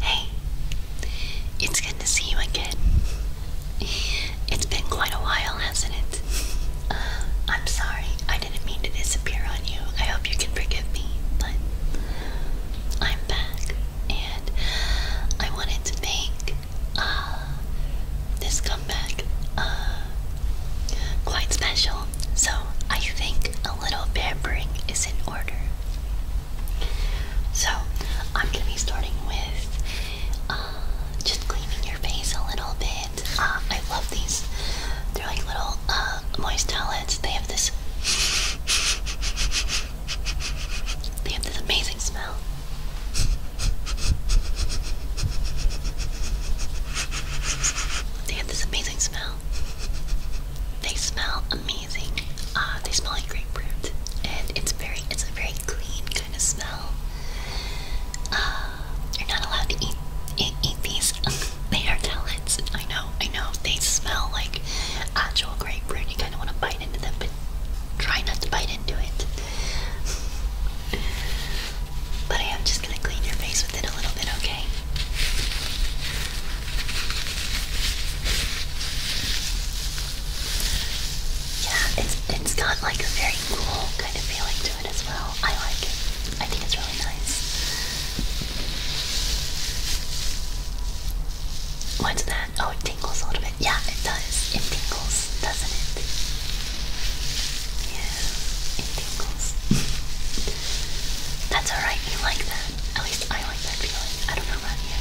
Hey, it's good to see you again. It's been quite a while, hasn't it? Uh, I'm sorry, I didn't mean to disappear on you. I hope you can forgive me, but I'm back and I wanted to make uh, this comeback uh, quite special. So I think a little pampering is in order. So, I'm going to be starting with uh, just cleaning your face a little bit. Uh, I love these. They're like little uh, moist towelettes. They have this. They have this amazing smell. They have this amazing smell they smell amazing. Uh, they smell like grapefruit, and it's very, it's a very clean kind of smell. Uh, you're not allowed to eat eat, these. they are pellets. I know, I know. They smell like actual grapefruit. You kind of want to bite into them, but try not to bite into it. But I am just gonna clean your face with it a little bit, okay? Yeah, it's it's got like a very cool kind of feeling to it as well. I like it. I think it's really nice. What's that? Oh, it tingles a little bit. Yeah, it does. It tingles, doesn't it? Yeah, it tingles. That's alright, you like that. At least I like that feeling. I don't know about you.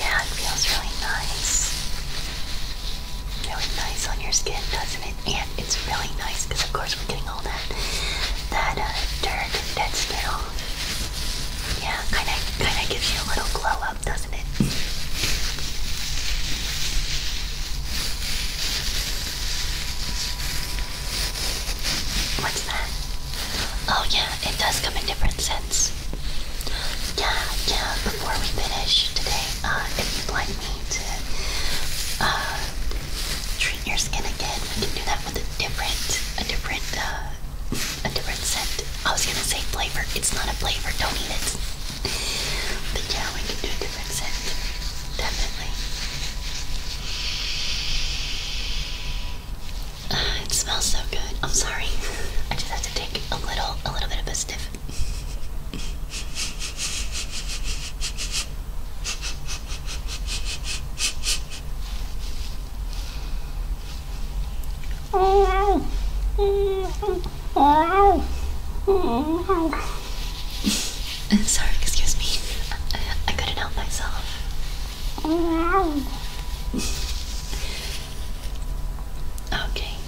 Yeah, it feels really nice. Really nice on your skin, doesn't it? And it's really nice because, of course, we're getting that that uh, dirt, that snow. Yeah, kind of kind of gives you a little glow up, doesn't it? What's that? Oh yeah, it does come in different scents. Yeah, yeah. Before we finish today, uh, if you'd like me to uh, treat your skin again. We can do that with a different, a different, uh, a different scent. I was gonna say flavor. It's not a flavor. Don't eat it. But yeah, we can do a different scent. Definitely. Ah, it smells so good. I'm sorry. I just have to take a little, a little bit of a sniff. Sorry, excuse me. I couldn't help myself. Okay.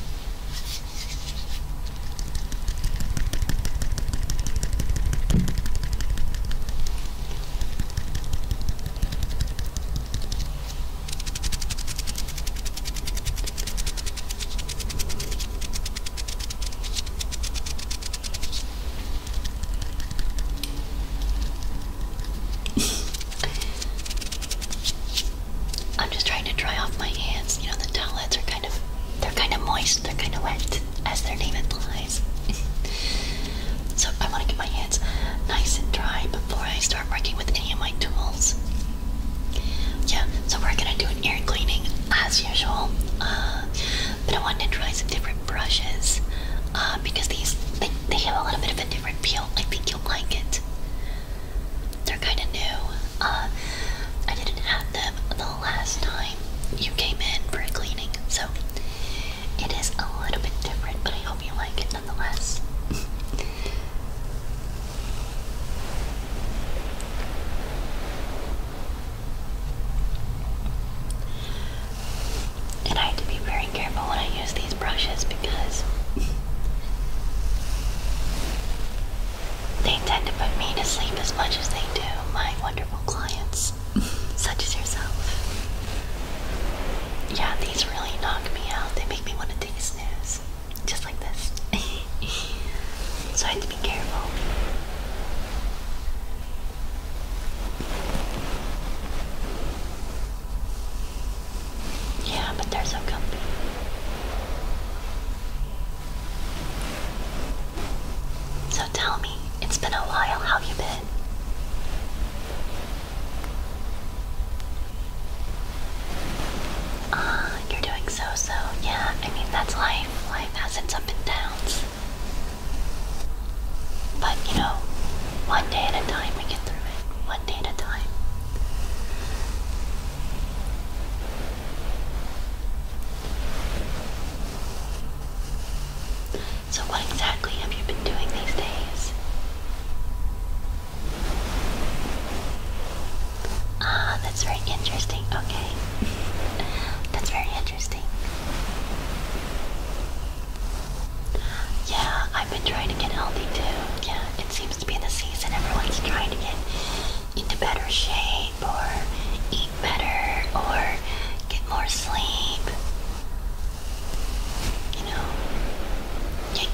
I'm just trying to dry off my hands. You know the towels are kind of they're kind of moist, they're kind of wet as their name implies. so I want to get my hands nice and dry before I start working with any of my tools. Yeah, so we're gonna do an ear cleaning as usual, uh, but I wanted to try some different brushes uh, because these they, they have a little bit of a different feel. I think you'll like it. They're kind of new. Uh, I didn't have them last time you came in for a cleaning, so it is a little bit different, but I hope you like it nonetheless. and I have to be very careful when I use these brushes because they tend to put me to sleep as much as they do my wonderful clients such as yourself. Yeah, these really knock me out. They make me want to take a snooze. Just like this. so I have to be careful. Yeah, but they're so comfy. So tell me, it's been a while, how you been? Ah, you're doing so-so. Yeah, I mean, that's life. Life has its up and downs. But, you know, one day at a time we get through it. One day at a time. So, what exactly have you been doing these days? Ah, that's very interesting. Okay. that's very interesting. Yeah, I've been trying to get healthy too. Yeah, it seems to be the season. Everyone's trying to get into better shape or eat better or get more sleep. You know,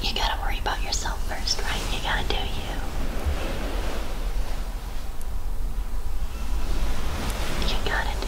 you gotta worry about yourself first, right? You gotta do you. You gotta do you.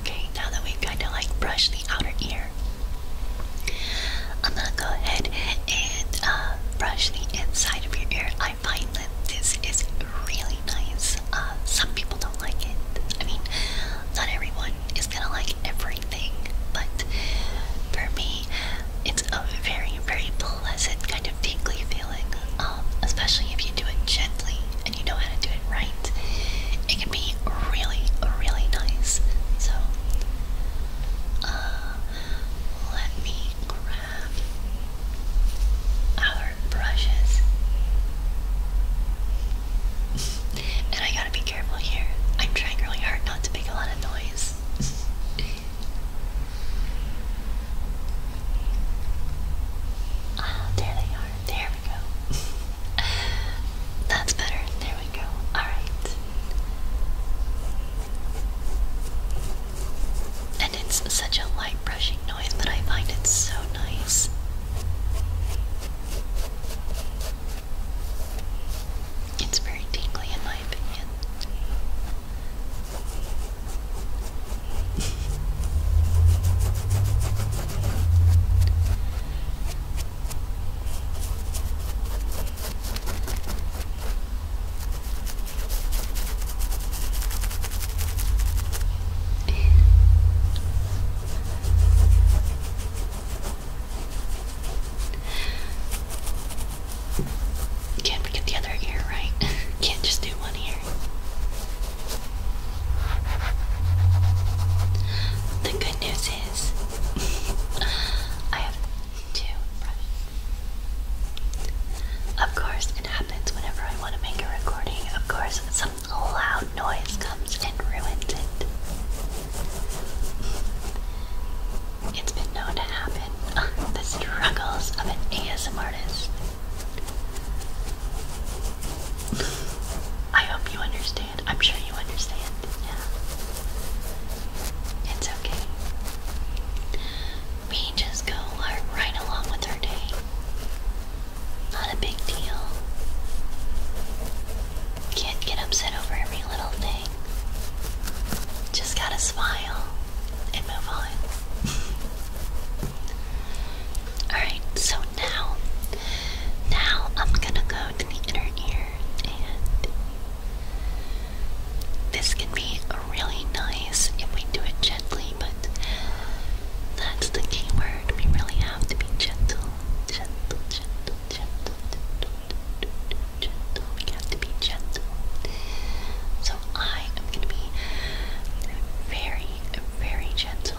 Okay, now that we've kind of like brushed the outer ear, I'm gonna go ahead and uh, brush the inside of your ear. I find that this is really nice. Uh, some people don't like it. I mean, not everyone is gonna like every but for me, it's a very, very pleasant kind of tingly feeling, um, especially if you do it gently and you know how to do it right. It can be really, really nice. So, uh, let me grab our brushes. and I gotta be careful here. I'm trying really hard not to make a lot of noise. Ah, there they are. There we go. That's better. There we go. Alright. And it's such a light brushing noise, but I find it so nice. It's very tingly, in my opinion can't forget the other ear, right? Can't just do one ear. The good news is I have two brushes. Of course, it happens whenever I want to make a recording. Of course, some a loud noise comes and ruins it. It's been known to happen. the struggles of an ASM artist. I hope you understand. I'm sure you understand. It's okay. We just go right along with our day. Not a big deal. Can't get upset over every little thing. Just gotta smile and move on. Alright, so now, now I'm gonna go to the inner ear and this can be really nice if we do it gently, but that's the key word. We really have to be gentle, gentle, gentle gentle, gentle, gentle. We have to be gentle. So I am going to be very, very gentle.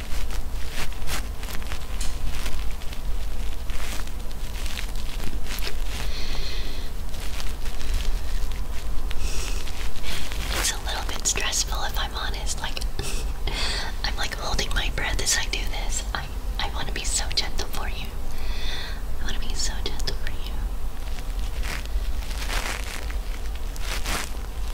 It's a little bit stressful if I'm honest. Like I'm like holding my breath as I do this. I I want to be so gentle for you. I want to be so gentle for you.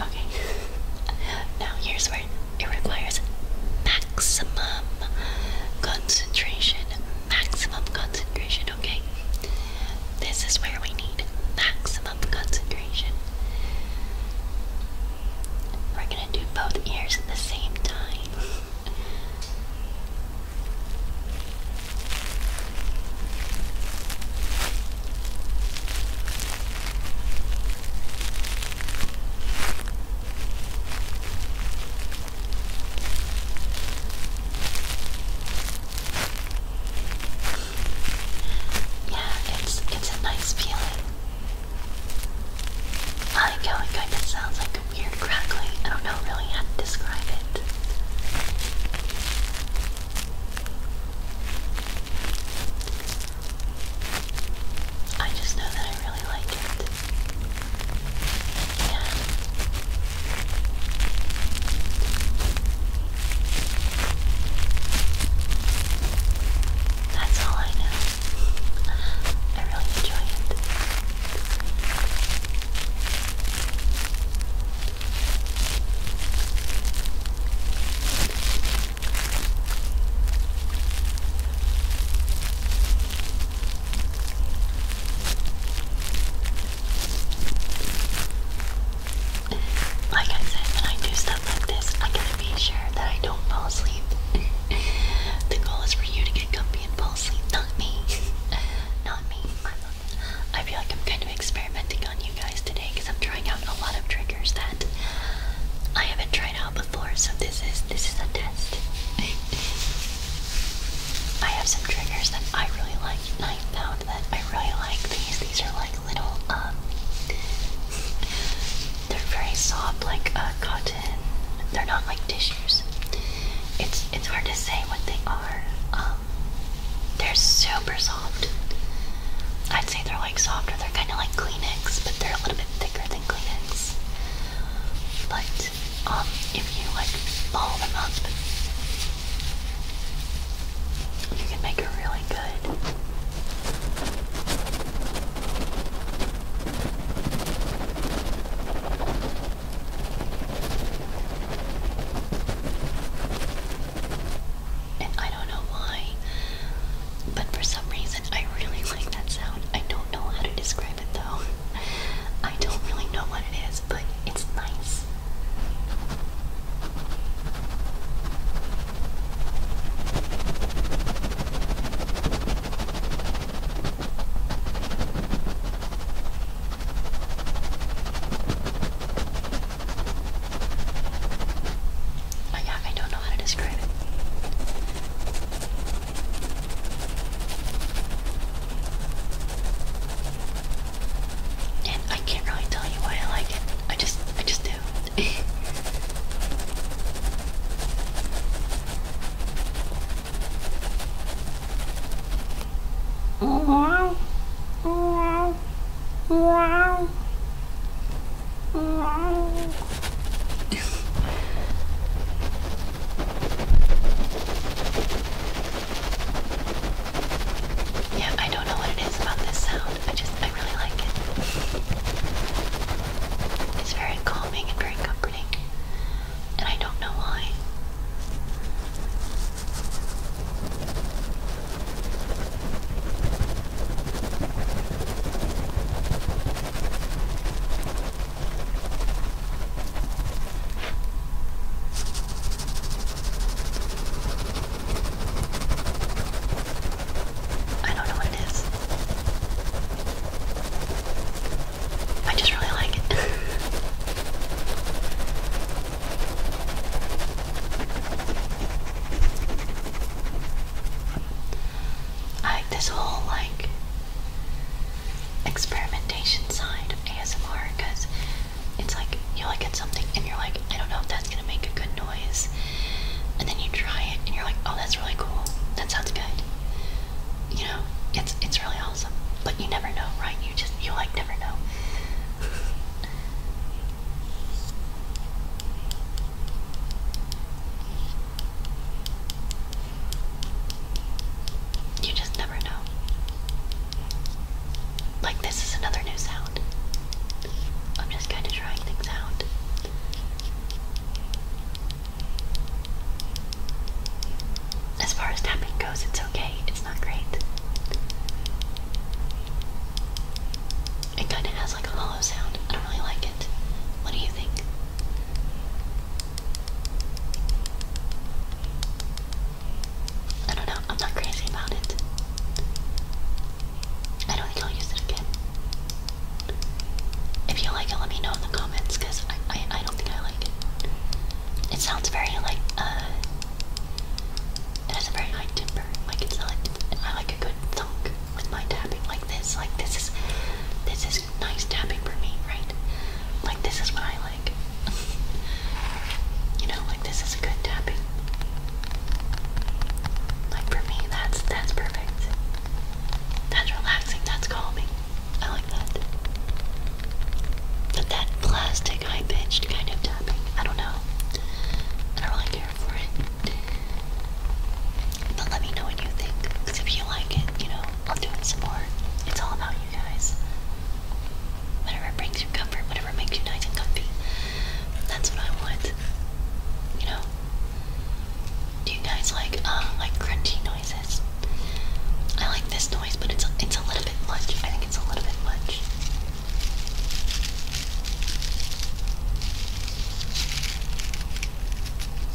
Okay. now here's where it requires maximum concentration. Maximum concentration, okay? This is where we need maximum concentration. We're gonna do both ears at the same time. Yeah, it's it's a nice feeling. I like how it sounds like weird crackling. I don't know really how to describe it. I just know that I really like it. Yeah. That's all I know. I really enjoy it. Like I said, when I do stuff like this, I gotta be sure that I don't fall asleep. the goal is for you to get comfy and fall asleep, not me. not me. i feel like I'm kind of experimenting you guys today because I'm trying out a lot of triggers that I haven't tried out before. So this is this is a test. I have some triggers that I really like, I found that I really like these. These are like little um, they're very soft, like uh, cotton. They're not like tissues. It's it's hard to say what they are. Um, they're super soft. I'd say they're like softer. They're kind of like Kleenex, but they're a little bit thicker than Kleenex. But um, if you like ball them up, you can make a really good. I don't know why, but for some reason I really like that sound. I don't know how to describe it though. I don't really know what it is, but it's nice. I, don't know how to describe it. And I can't really tell you why I like it. I just I just do. yeah, I don't know what it is about this sound. I just, I really like it. It's very calming and very comforting. And I don't know why. I don't know what it is. I just really like it. I like this whole like experimentation side of ASMR because it's like you look at something and you're like, I don't know if that's gonna make a good noise, and then you try it and you're like, oh, that's really cool. That sounds good. You know, it's it's really awesome, but you never know, right? You just, you like never know. You just never know. Like, this is another new sound. I'm just kind of trying things out as far as tapping goes, it's okay. It's not great. It kind of has like a hollow sound. I don't really like it. What do you think? I don't know. I'm not crazy about it. I don't think I'll use it again. If you like it, let me know in the comments because I, I, I don't think I like it. It sounds very like, uh, it has a very high timbre. Like it's not. I like a good thunk with my tapping like this. Like this is this is nice tapping for me, right? Like this is what I like. you know, like this is a good tapping. Like for me, that's that's perfect. That's relaxing. That's calming. I like that. But that plastic high pitched kind of tapping, I don't know. I don't really care for it. But let me know what you think. Because if you like it, you know, I'll do it some more. It's all about you guys. Whatever brings you comfort, whatever makes you nice and comfy. That's what I want. You know? Do you guys like uh like crunchy noises? I like this noise, but it's it's a little bit much. I think it's a little bit much.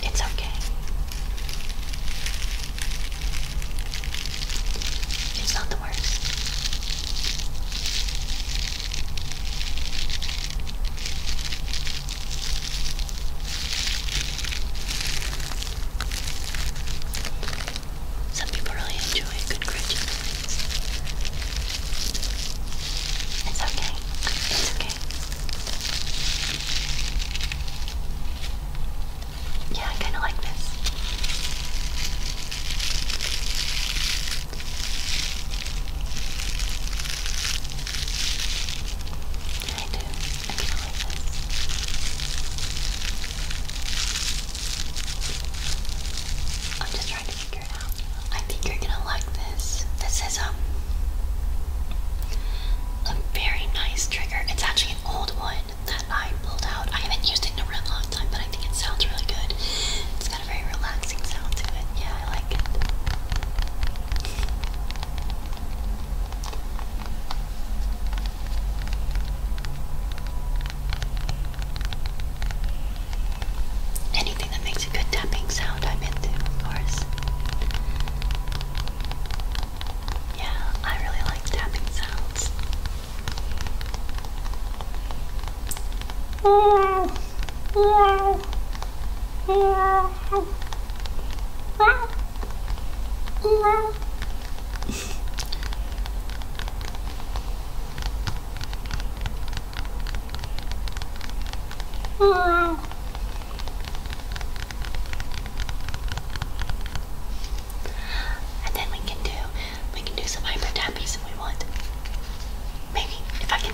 It's okay. It's not the worst. Some people really enjoy good Christian It's okay. It's okay. Yeah, I kind of like this. I do. I kind of like this. I'm just trying to figure it out. I think you're gonna like this. This is um a very nice trigger. It's actually an old one that I pulled out. I haven't used it in a real long time, but I think it sounds really good. It's got a very relaxing sound to it. Yeah, I like it. Anything that makes a good tapping sound, I'm into, of course. Yeah, I really like tapping sounds. and then we can do we can do some hyper tappies if we want. Maybe if I can.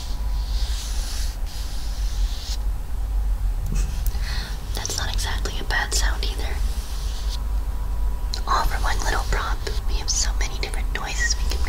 That's not exactly a bad sound either. All for one little prop. We have so many different noises we can make.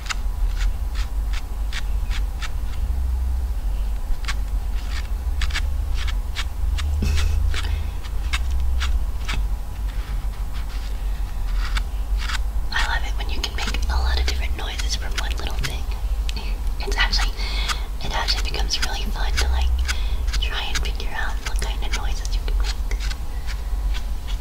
I love it when you can make a lot of different noises from one little thing. It's actually, it actually becomes really fun to like try and figure out what kind of noises you can make.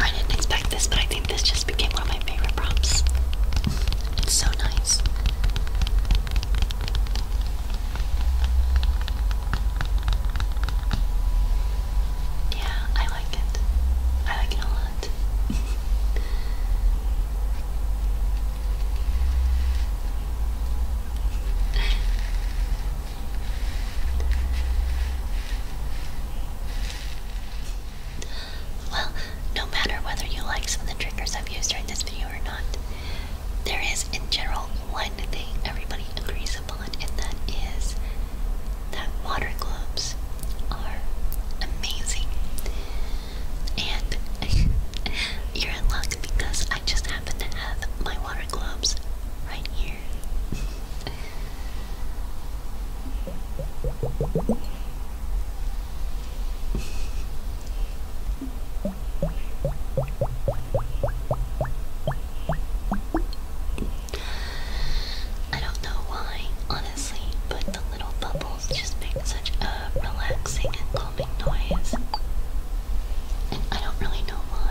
I didn't expect this, but I think this just became one of my favorite prompts. It's so nice. Yeah, I like it. I like it a lot. Well, no matter whether you like some of the triggers I've used during this video or not, there is in general one thing everybody agrees upon, and that is that water globes are amazing. And you're in luck because I just happen to have my water globes right here. I don't know why, honestly, but the little bubbles just make such a relaxing and calming noise. And I don't really know why.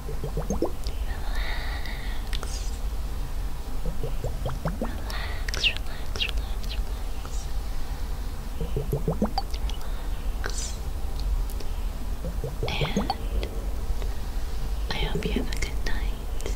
Relax. Relax, relax, relax, relax. And I hope you have a good night.